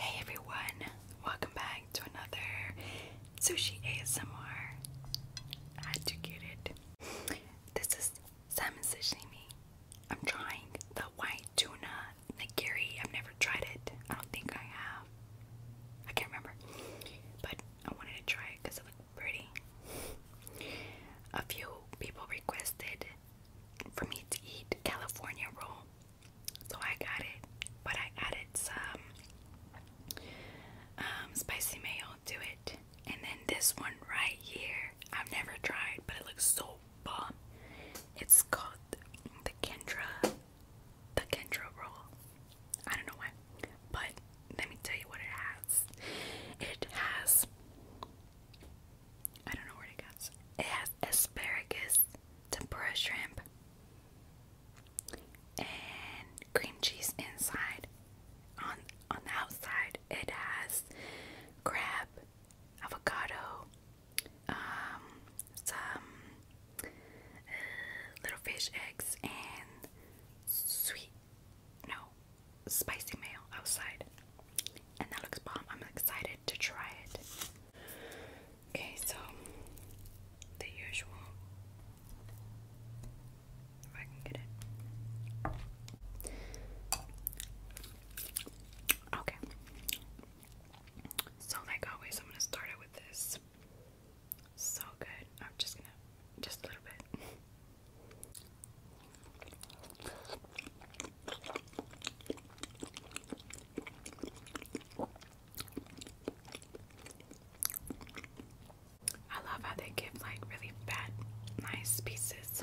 Hey everyone, welcome back to another Sushi ASMR. I This is salmon sashimi. I'm trying the white tuna nigiri. I've never tried it. I don't think I have. I can't remember. But I wanted to try it because it looked pretty. A few people requested for me to eat California roll, so I got it, but I added some um, spicy mayo to it. And then this one right here, I've never tried, but it looks so bomb. It's called the Kendra the Kendra roll. I don't know why, but let me tell you what it has. It has, I don't know where it goes. It has asparagus, tempura shrimp, and cream cheese inside. On on the outside, it has crab, avocado, um, some uh, little fish eggs, and sweet, no, spicy mayo outside. And that looks bomb. I'm excited to try it. Okay, so the usual. If I can get it. Okay. So, like always, I'm gonna start it with this. So good. I'm just gonna, just a little bit. I love how they give like really fat, nice pieces.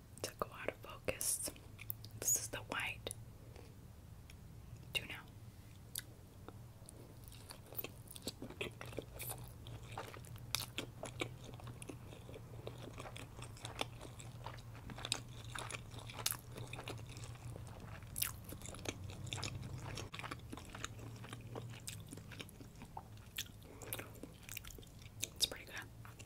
to go out of focus. This is the white. Do now. It's pretty good.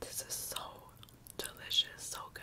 This is so delicious, so good.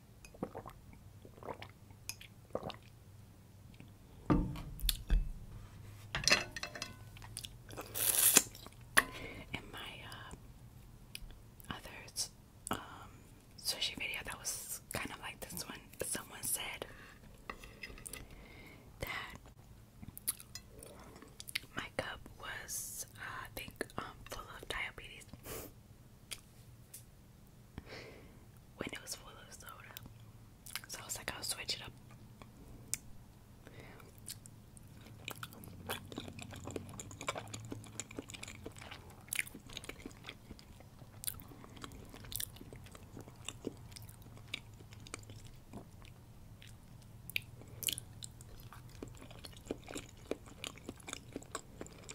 In my uh, other um, sushi video that was kind of like this one, someone said that my cup was, uh, I think, um, full of diabetes when it was full of soda. So I was like, I'll switch it up.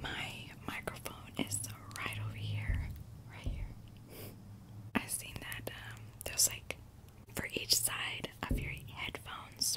My microphone is right over here, right here. i seen that um, there's like for each side of your headphones.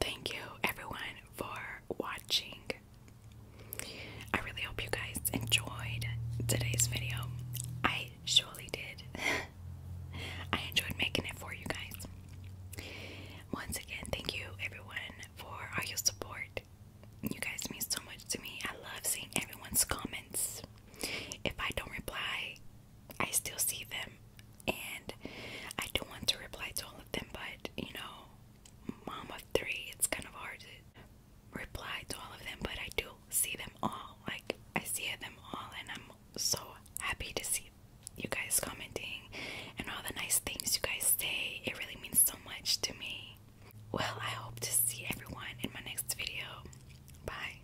Thank you everyone for watching. I really hope you guys enjoyed today's video. I surely did. I enjoyed making it for you guys. Once again, thank you everyone for all your support. You guys mean so much to me. I love seeing everyone's comments. If I don't reply, I still see them, and I do not want to reply to all of them, but you know, mom of three, it's kind of hard to reply to all of them, but I do see them all. Like, I see them all, and I'm so happy to see you guys commenting and all the nice things you guys say. It really means so much to me. Well, I hope to see everyone in my next video. Bye.